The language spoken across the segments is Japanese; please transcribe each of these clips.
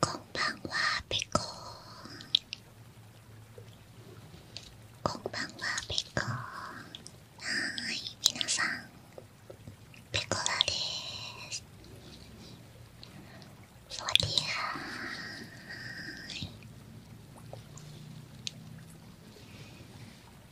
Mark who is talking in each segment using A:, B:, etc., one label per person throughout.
A: こんばんはペコこんばんはペコはーいみなさんペコラですสวัสดีค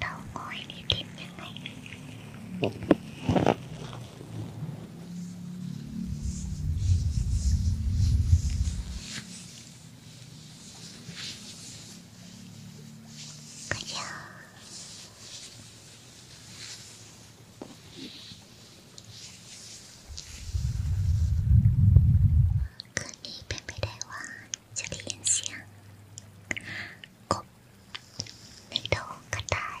A: เตาก้อยนี่กินยังไงかじゃーคืนนี้เป็นไปได้ว่าจะได้ยินเสียงกบในท้องกระต่าย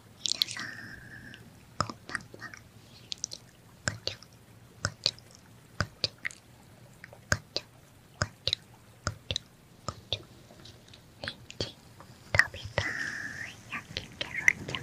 A: 皆さんこんばんはこちょこちょこちょこちょこちょこちょこちょにんじん食べたい焼きケロちゃんこ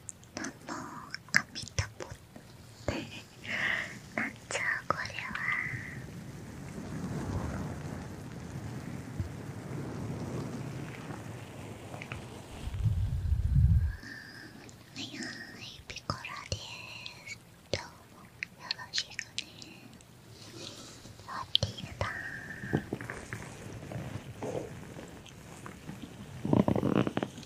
A: ののあみたぼってなんじゃこれははいはいピコラですどうもよろしくねハッピーだー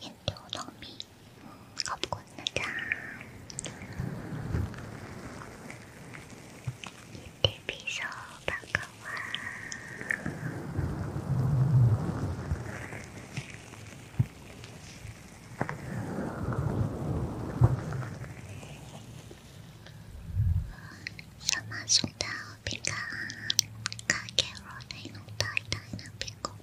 A: เห็นดูน้องมีขอบคุณนะจ๊ะยินดีพี่โซบังกะวาสามารถส่งดาวเป็นกาคาแครอทให้น้องตายได้นะเป็นกบ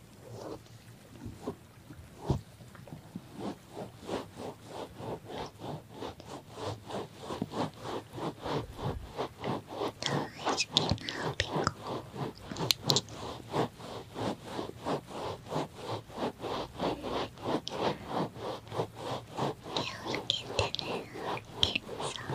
A: 大好きなピンク気をつけてねケンさん。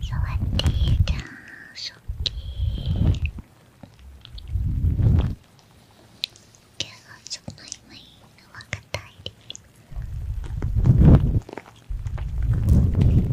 A: 触っていいじゃんそっきーけどちょっと今いいのは硬いです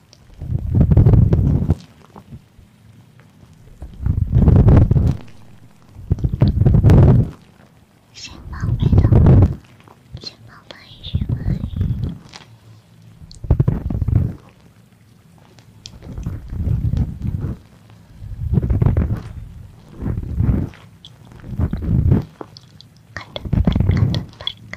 A: 先宝贝的，先宝贝是吗？カトンパンカトンパン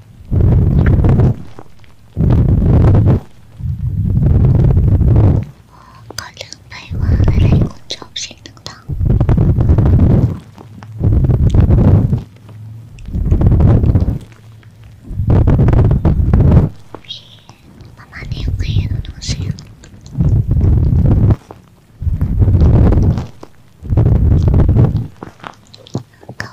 A: ก่อนลืมไปว่าอะไรคุณชอบเสียงต่างๆประมาณนี้โอเคแล้วน้องเสียงก็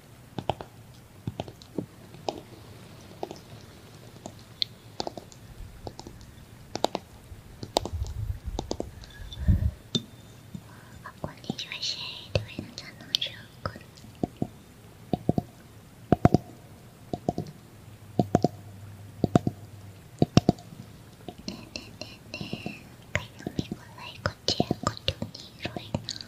A: あこんにちはシェイドエナちゃんのショークねえねえねえねえかいのみごらいこっちやことにいろいな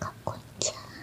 A: かっこいいじゃん。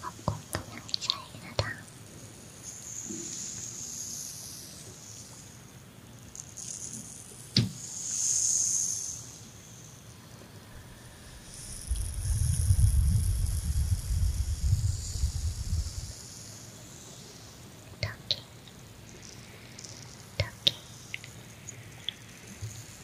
A: Học cùng tôi đang chạy ra đó Talking, talking,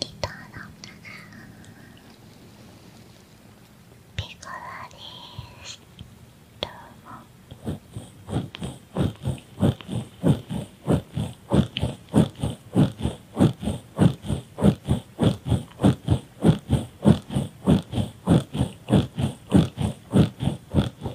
A: キリトーのピコラですどうも「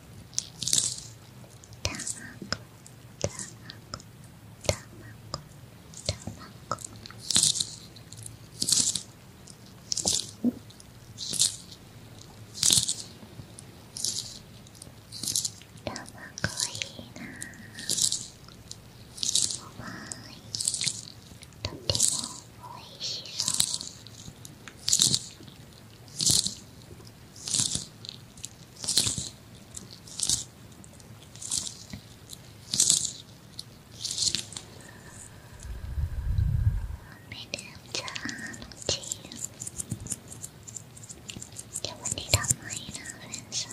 A: 卵とてもおいしそう。Madam you will need a minor inside.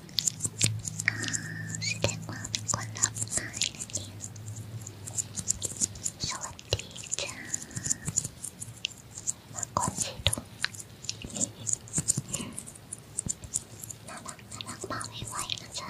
A: แสดงว่าเป็นคนรับสายนะเนี่ยสวัสดีจ้ามาก่อนสิทุกน่ารักน่ารักมาไวๆนะจ๊ะ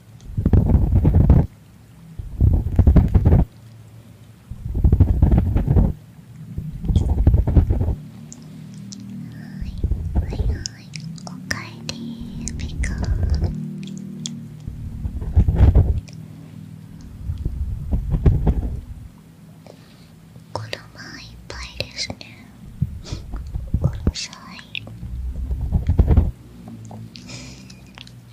A: はいはいはいおかえりピカ子のまいっぱいですねうるさい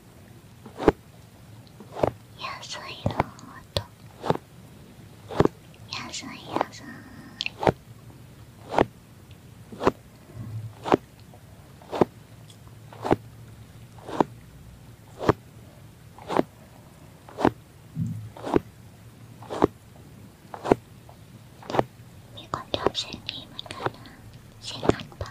A: 野菜の音野菜野菜มีคนชอบเสียงนี้เหมือนกันนะเสียงอัดปะ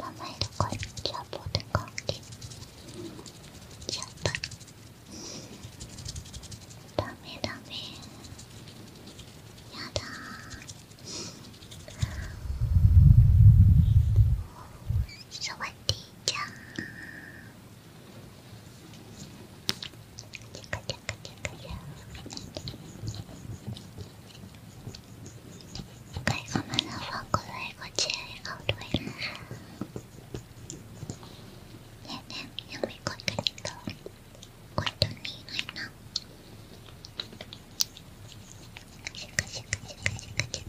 A: 名前とかキャボで関ちやったダメダメやだーわっていいじゃんチャカチャカチャカチャカ Cái không bao giờ vào cô lại có trẻ ở đuổi ha Dạ nè, nhưng mình còn cái những đồ Còn đồ ní hay nóng Shaka shaka shaka shaka shaka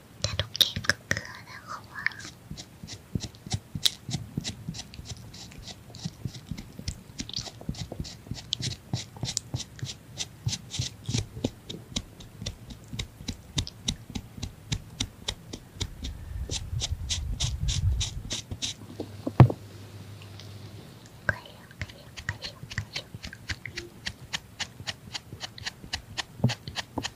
A: terukik ke arah bawah. Kayu, kayu, kayu, kayu. こ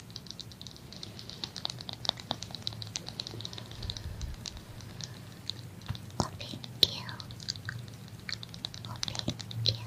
A: Oh, thank you. thank you.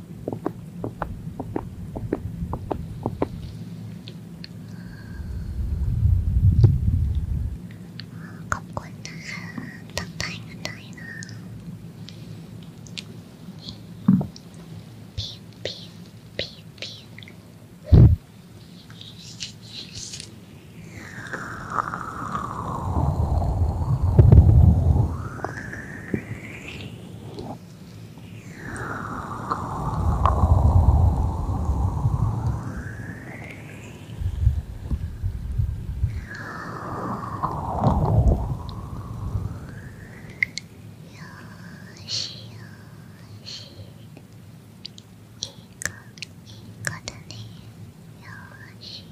A: ขอบคุณนะคะตั้งใจกันได้นะพีนพีนพีนพีนよし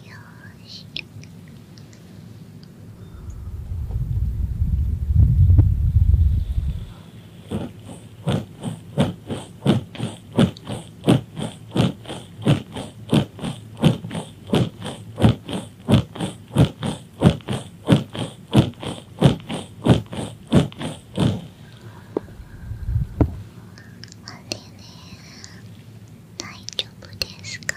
A: よし。大丈夫ですか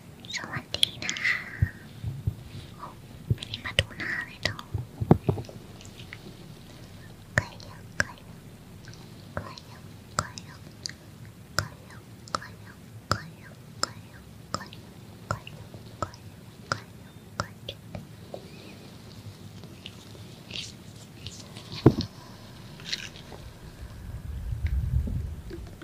A: สวัสดีนะคะโอ้ไม่ได้มาดูหน้าเลยเนาะกอยยกกอยยกกอยยกกอยยกกอยยกกอยยกกอยยกกอยยกกอยยกกอยยกกอยยกกอยยกกอยยก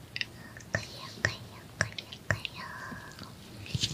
A: かよかよかよかよどうして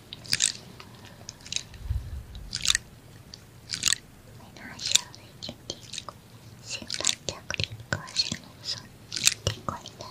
A: メドレーシアウエーチンティック先輩客ティックはセミンソンティックインダムよ。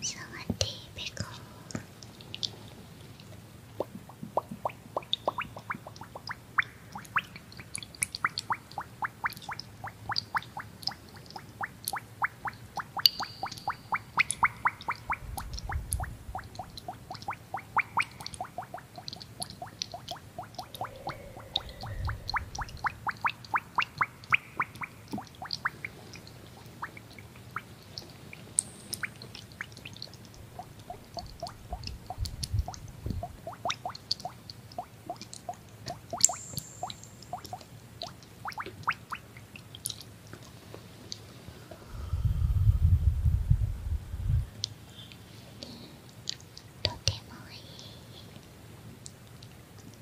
A: 触っていいべかおとてもいい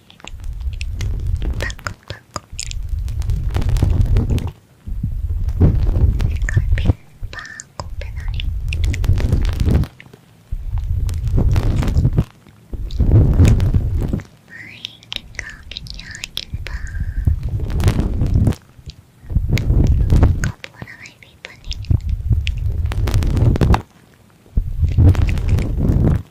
A: タコタコカピバーコペナリはいカピイ t a n k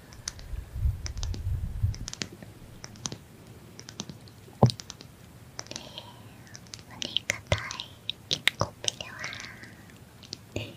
A: お願い一個目ではごい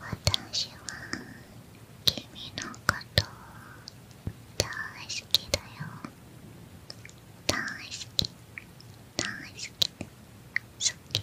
A: 私は君のこと大好きだよ大好き大好き好き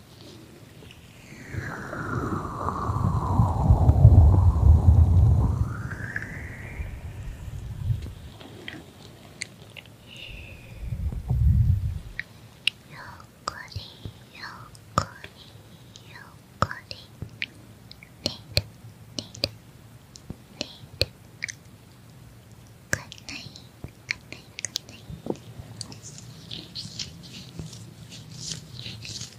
A: こりよこりよこりリルリル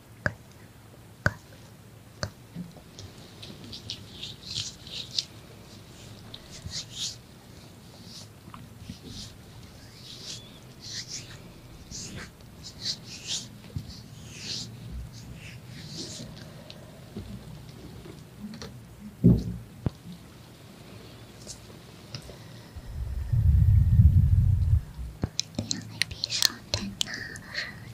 A: 有没闭上灯呢？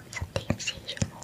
A: Nossa, tem cheiro bom.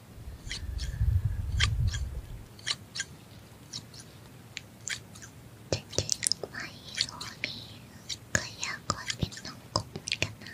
A: จริงๆไม่โซนี่ก็อยากกอดเป็นน้องกบเหมือนกันนะ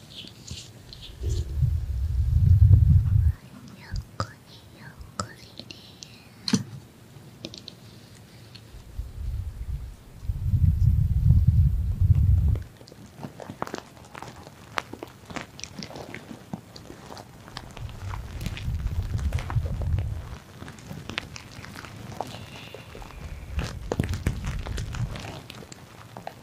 A: こりゆっくりね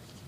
A: それ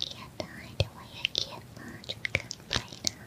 A: can't hide away, I cannot confine her.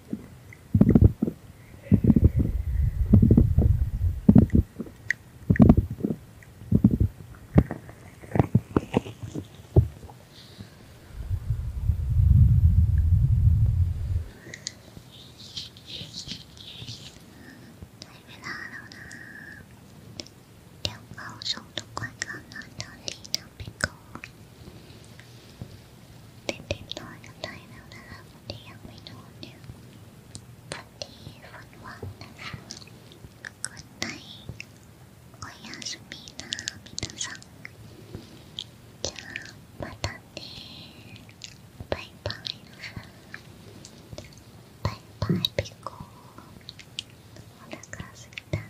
A: 别闹了啦！两包手的快感拿到你的鼻孔，They did not dine on a holiday and went on their party for one Good night. おやすみな皆さん。じゃあ、またねー。バイバイなさ。バイバイピコー。お腹すいたな。